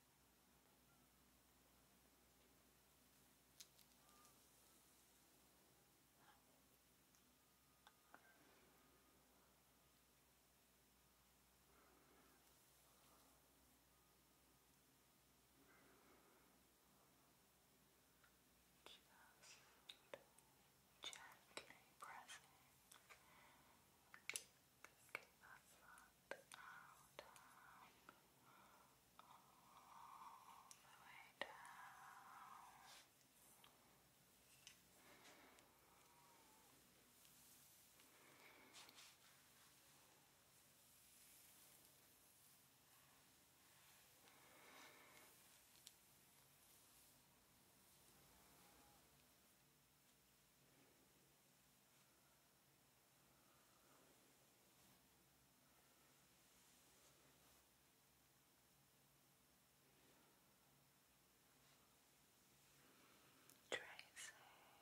Just gently pressing Get that front out, down, all the way down. Good. Tracing, following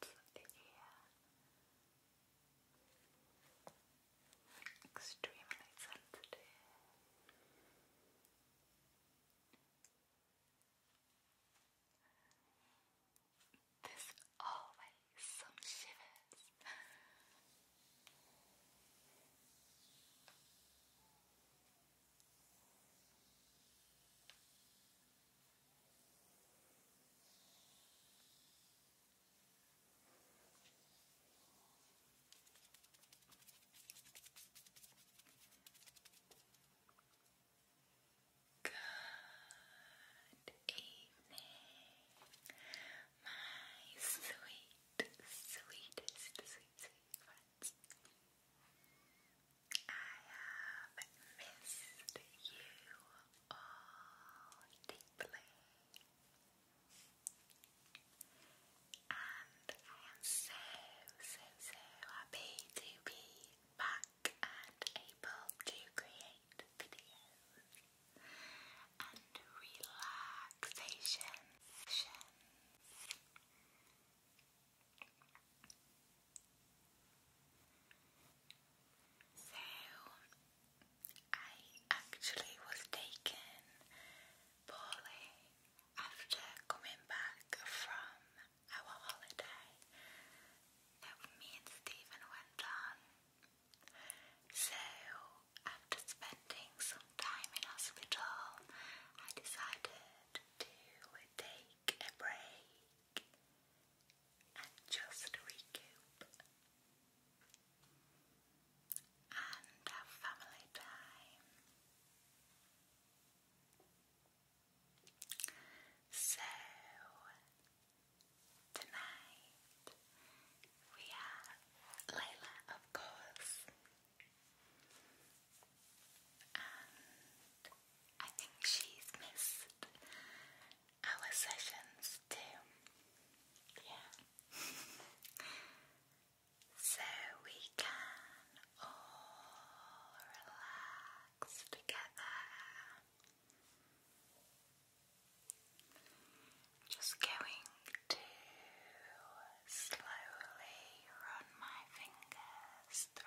the folds Extremely sensitive. There's always some shivers. Good evening, my sweet, sweetest, sweet, sweet I have missed you all deeply. And I am so, so, so happy to be back and able to create videos and relaxation So, I actually was taken poorly after coming back from our holiday me and Stephen went on. So, after spending some time in hospital, I decided to take a break and just recoup and have family time. So, tonight we have Layla, of course, and I think she's missed our sessions too. Yeah. so we can all relax together. Just going to slowly run my fingers through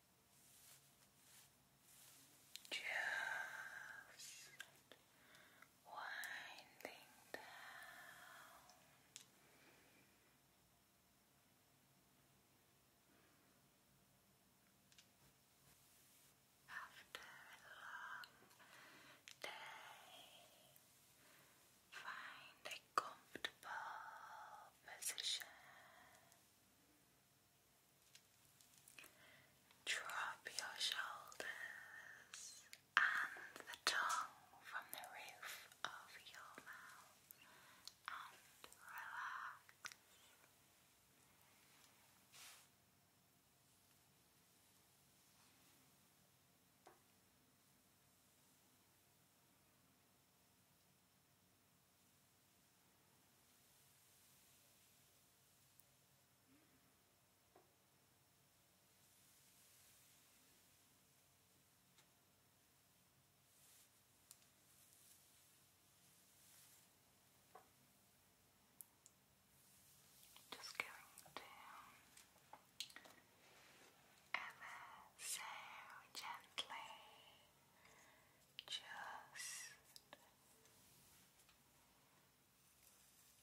Just winding down. After a long day, find a comfortable position. Drop your shoulders and the tongue from the roof of your mouth and relax. Just going to ever so gently just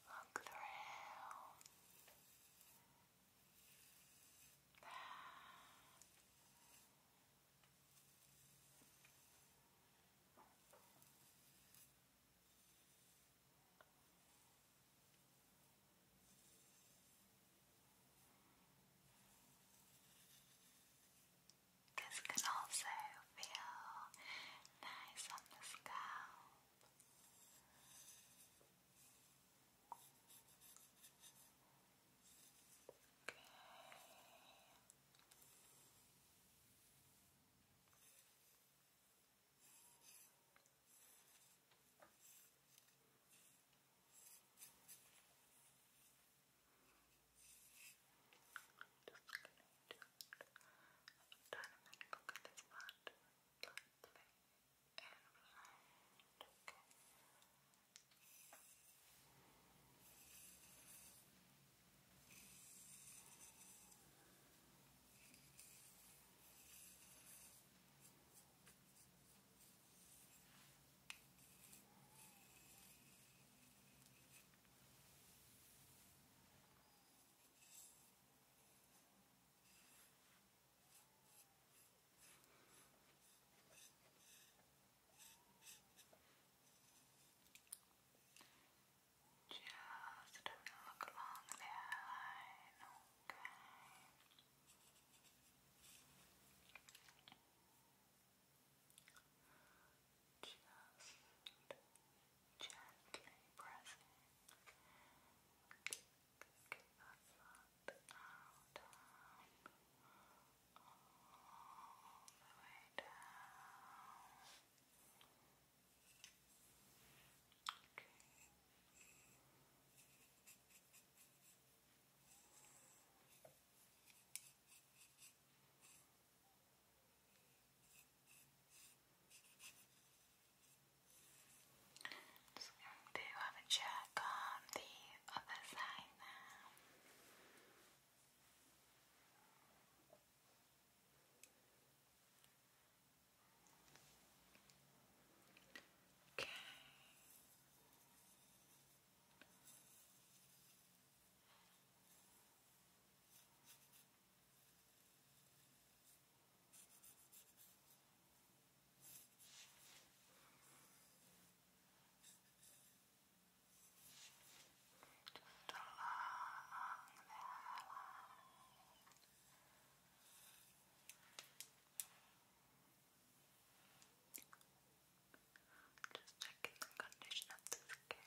Look through. This can also feel nice on the scalp. Okay look at this part lightly and blind, okay? Okay. Just look along the line, okay. Just gently pressing get that blood down all the way down just you have a check on the other side now. Okay. Just along the highline. Just checking the condition of the skin.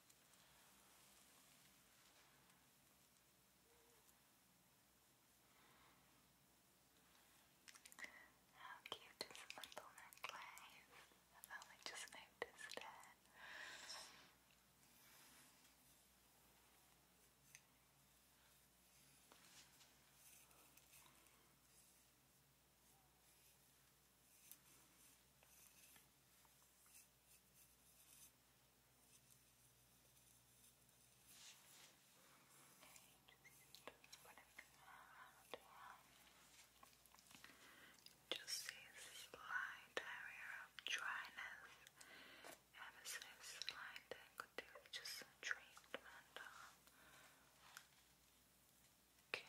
How cute is the little necklace? i only just noticed it. Just see a area of dryness. Ever so I could do just some treatment uh, Okay.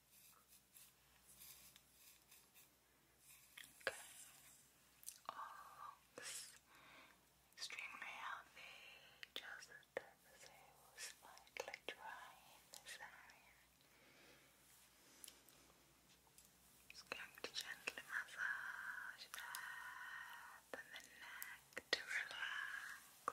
Okay. All extremely healthy, just so slightly dry in this area. Just going to gently massage that and the neck to relax.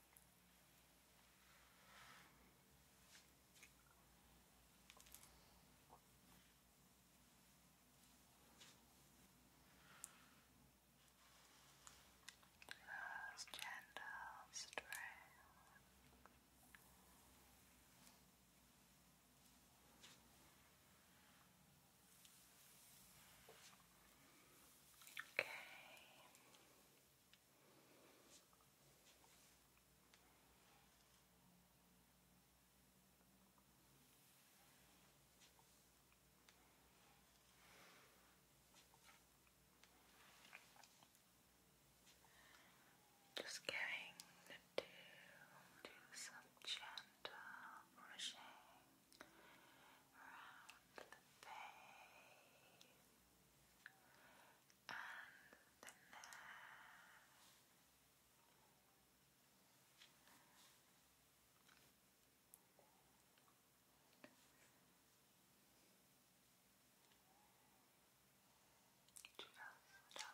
Those gentle strands. Okay. Just going to do some gentle brushing around the face and the neck. Just along the line. Just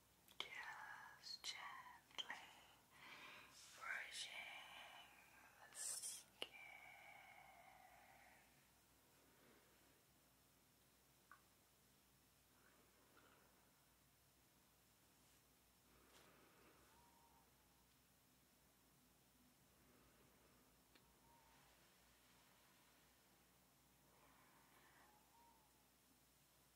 Just gently brushing the skin. Just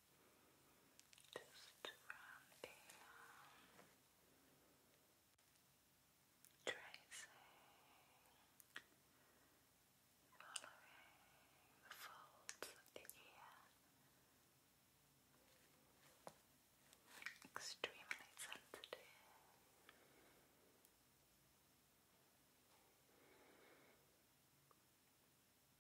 just run tracing following the folds of the ear extremely sensitive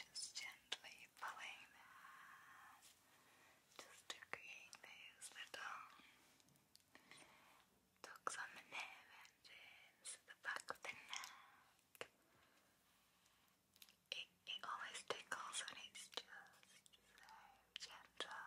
Just gently pulling that just to those little tucks on the nerve endings, the back of the neck. It, it always tickles and it's just so gentle.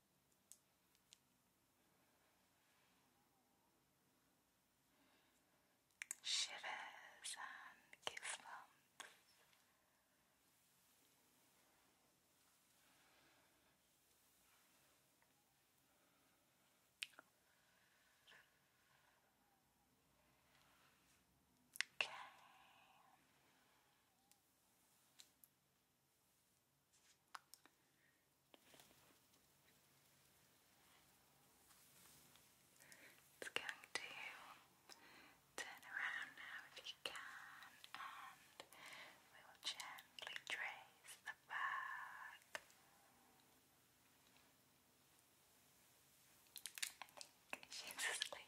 shivers and goosebumps. Okay. It's going to turn around now if you can, and we will gently trace the back. I think she's asleep.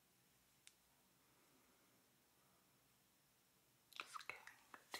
Just going to undo.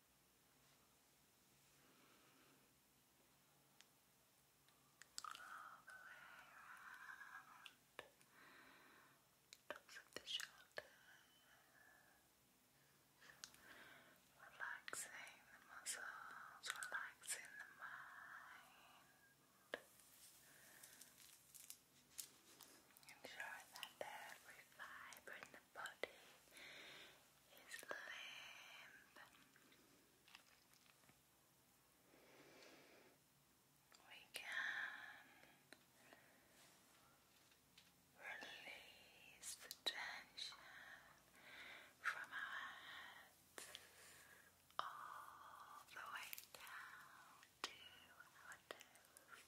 all the way around tops the shoulders relaxing the muscles, relaxing the mind ensuring that every fibre in the body is limp. We can release the tension from our heads all the way down to our toes.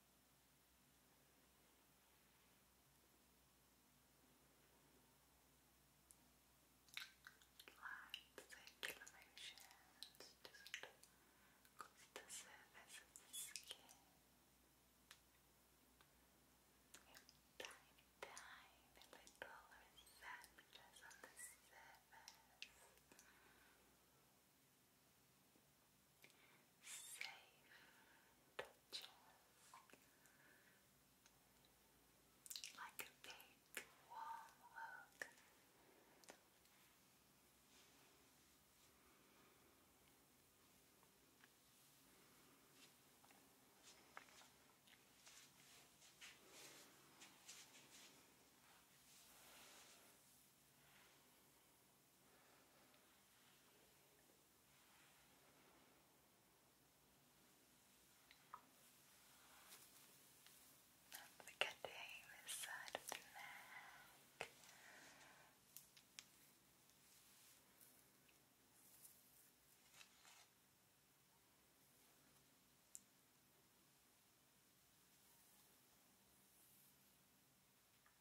Light circulations just across the surface the skin. Tiny, tiny little receptors on the surface safe touches like a big warm hug. Now, not forgetting this side of the neck.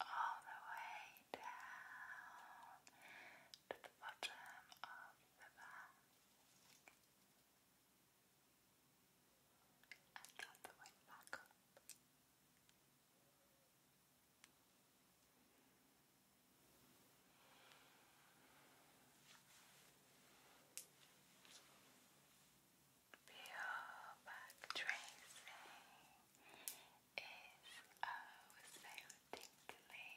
all the way down to the bottom of the back and all the way back up. back tracing oh so tingly,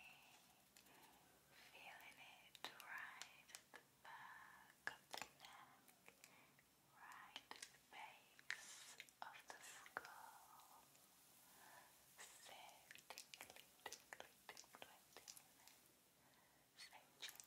feeling it right at the back of the neck, right the base of the skull. So tingly, tingly, tingly, tingly, so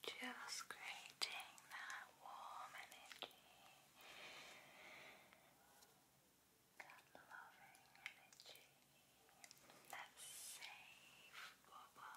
just creating that warm energy, that loving energy, that safe bubble.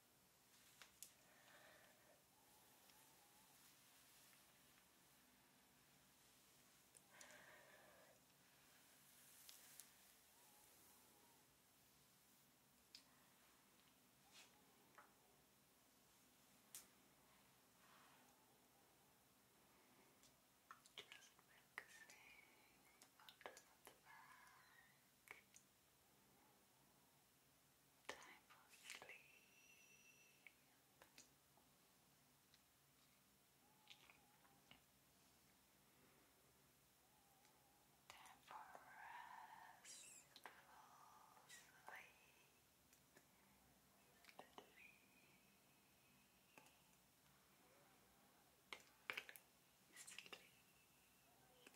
Just focusing on the back. Just Time for sleep. Time for restful sleep. Sleep. Sleep. Sleep.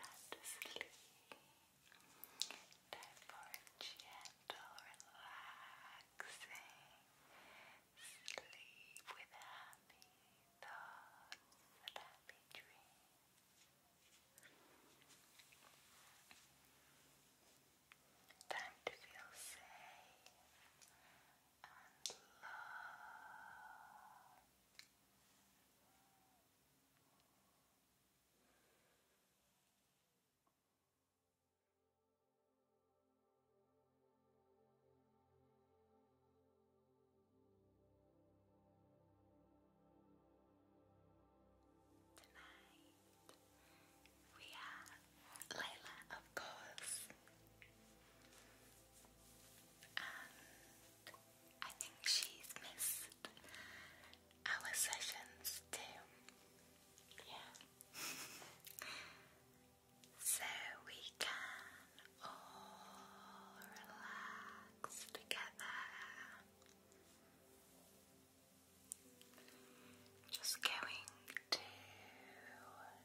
Time to sleep. Time for a gentle, relaxing Sleep with happy thoughts and happy dreams. Time to feel safe and love. Tonight we have Layla, of course, I think she's missed our sessions too. Yeah. so we can all relax together. Just going to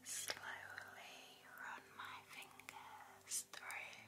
slowly run my fingers through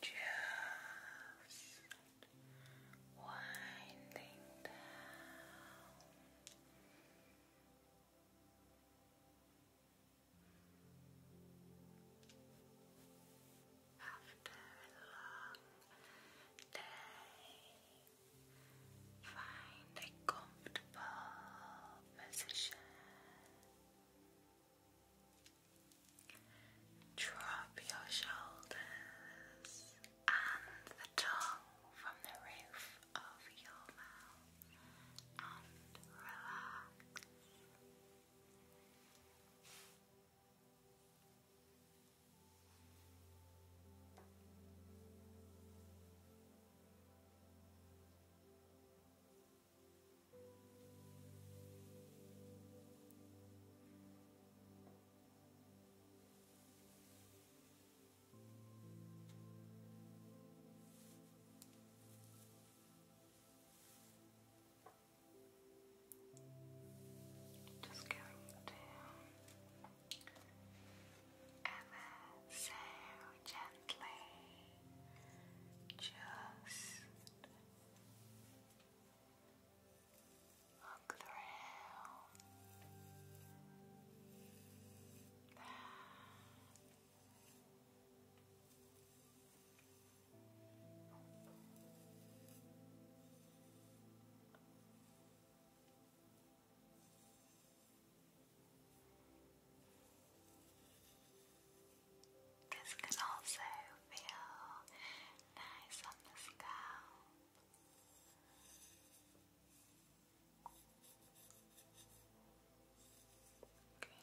Just winding down. After a long day, find a comfortable position. Drop your shoulders and the tongue from the roof of your mouth and relax. Just going to ever gently just look through this can also feel nice on the scalp. Okay.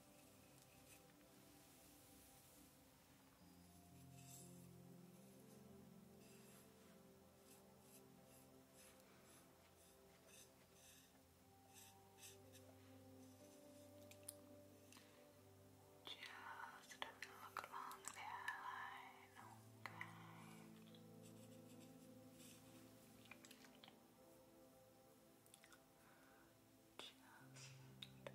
Just have a look along the airline, okay just gently pressing the foot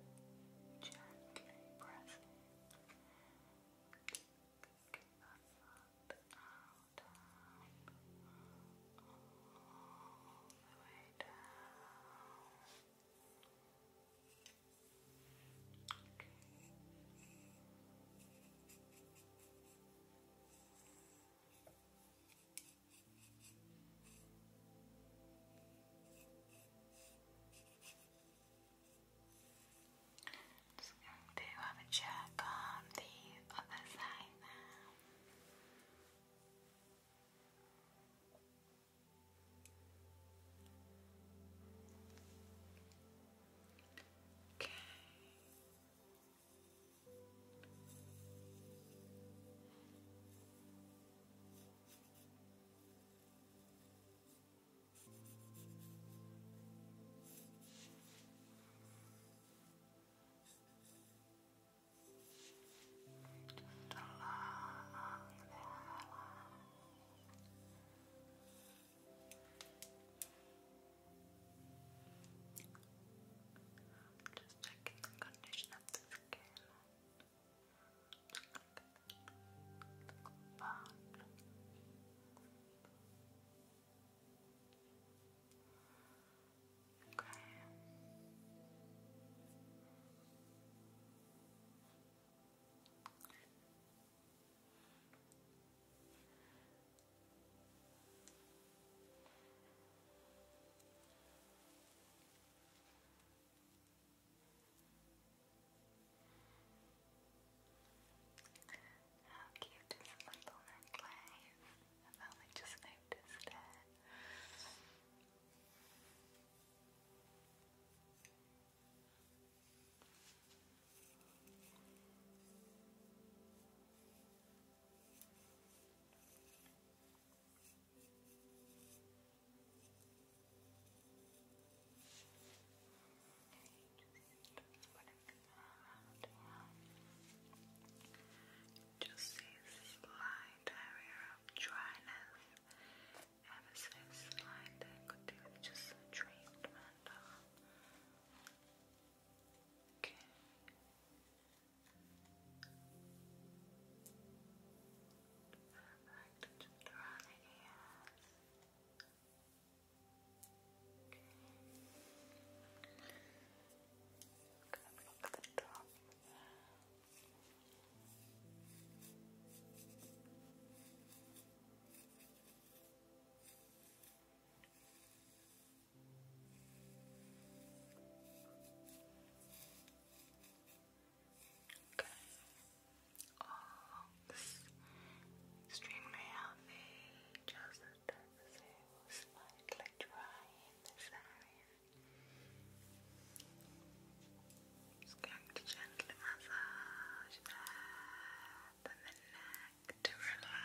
out, down, all the way down. Okay. Good. Just going to have a check on the other side now. Okay. Just along the hairline. Just checking the condition of the skin. Okay. How cute is a little necklace? i only just noticed it. Just this slight area of dryness, ever so slight, I could do just a treatment. Okay. Perfect. Just draw the ears. Okay. Gonna block the top. Okay. Okay. All extremely healthy, just so slightly dry in this area. Just going to gently massage that and the neck to relax.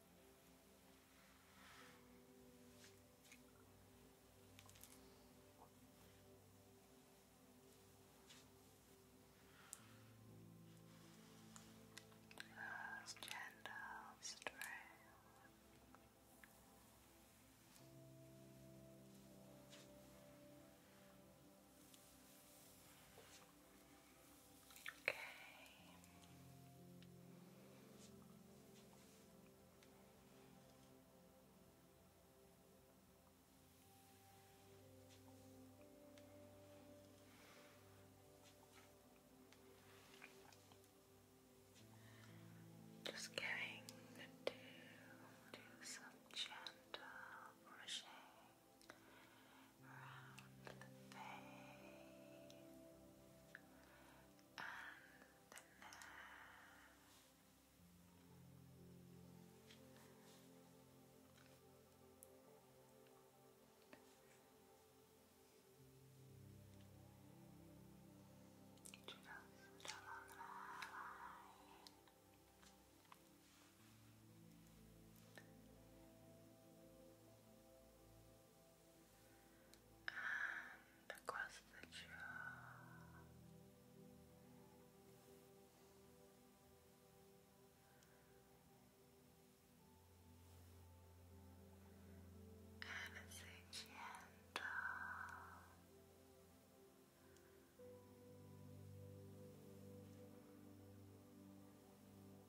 Those gentle strength. Okay. Just going to do some gentle brushing round the face and the neck. Just along the line and across the jaw. And it's a gentle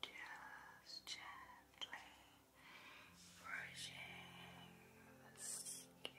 Just gently brushing the skin.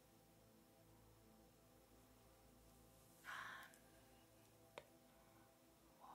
and warm and relaxed. Now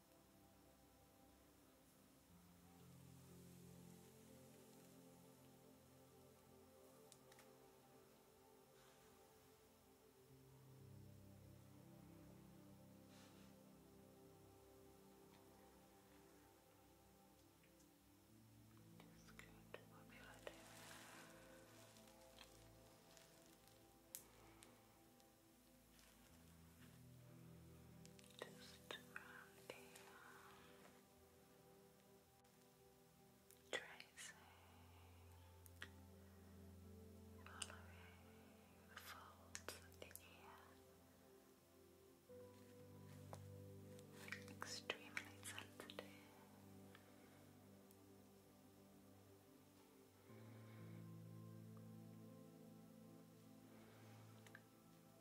Just good. What will I do? Just around the tracing, following the folds of the Extremely sensitive.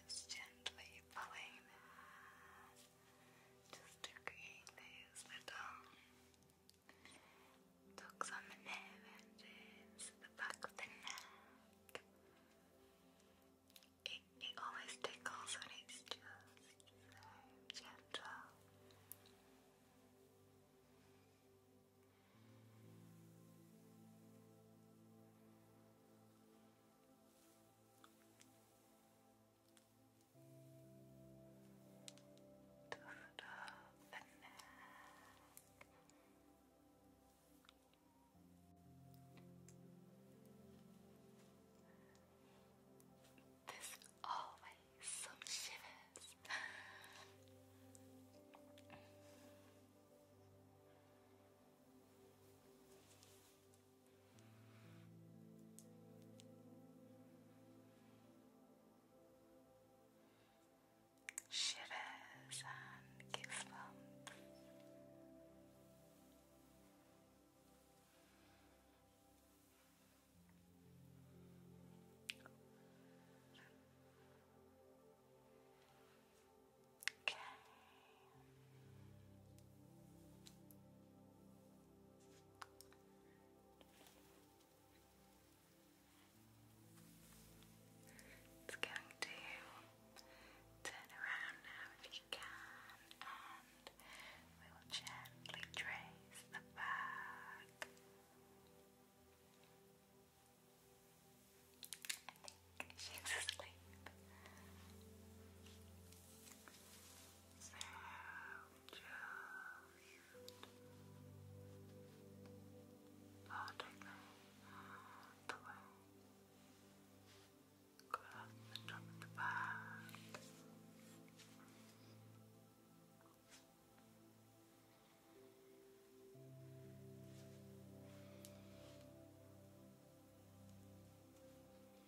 Just gently pulling just to create little tucks on the nail edges, the back of the neck. It, it always tickles when it's just so gentle the foot neck. There's always some shivers shivers and gives Okay. It's going to turn around now if you can, and we will gently trace the back She's asleep. So just oh, take that away. up and drop in the back.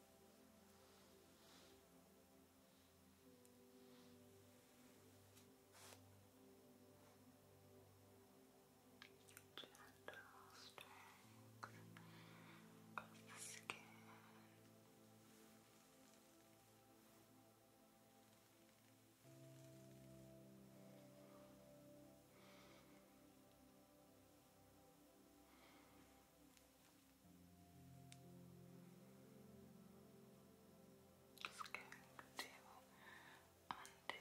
Gentle strength of the skin. Gentle just going to undo.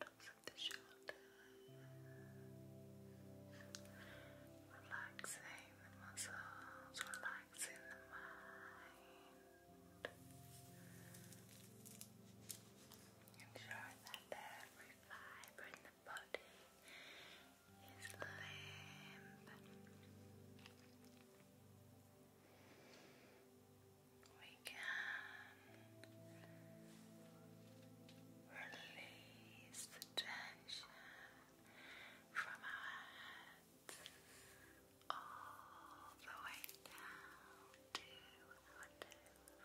tops of the shoulders, relaxing the muscles, relaxing the mind. Ensure that every fiber the body We can release the tension from our heads all the way down to our toes.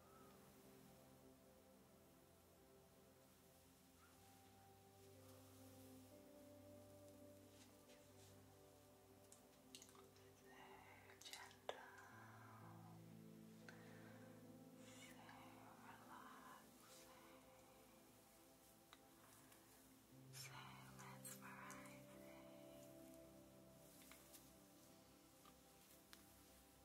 so mesmerizing. Thank you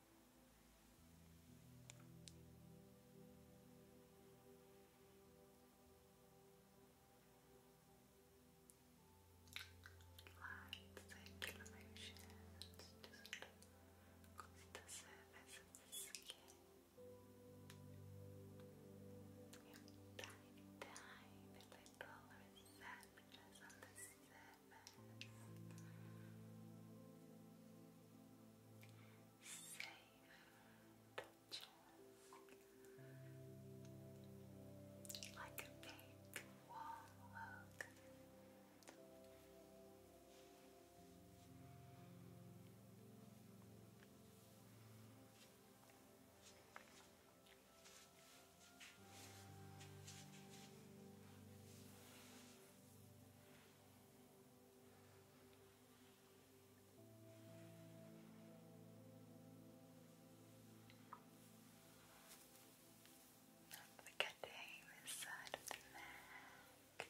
Light circular motions just across the surface of the skin. Your tiny, tiny little receptors on the surface Safe touching like a big warm hug. Not forgetting this side the neck.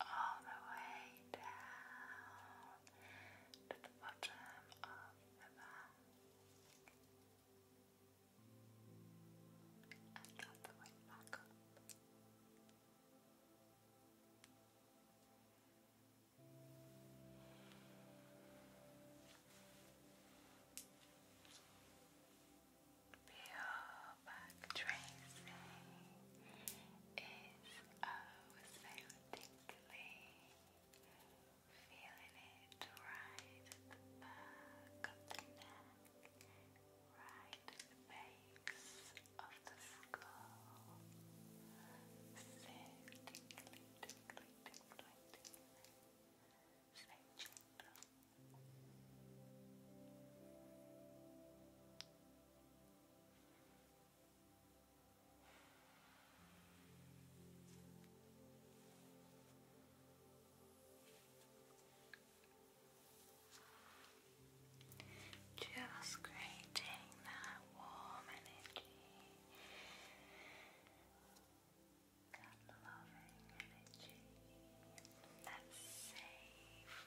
all the way down to the bottom of the back and all the way back up. Beautiful back tracing is oh so Feeling right back of the neck, right base of the skull. So tickly, tickly, just creating that warm energy, that loving energy, that safe,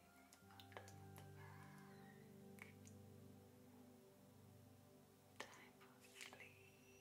Time for sleep. Time for restful sleep. Sleep.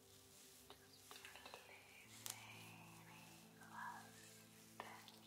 Just release any tension.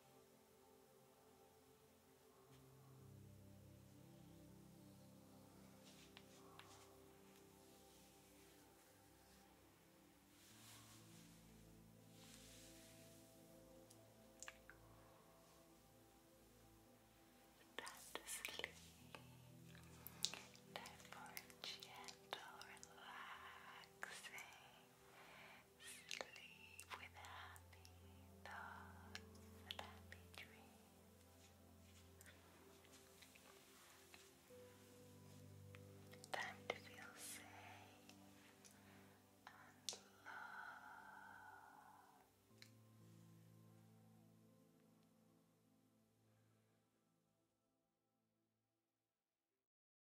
Time to sleep. Time for gentle, relaxing Sleep with happy thoughts and happy dreams. Time to feel safe and love.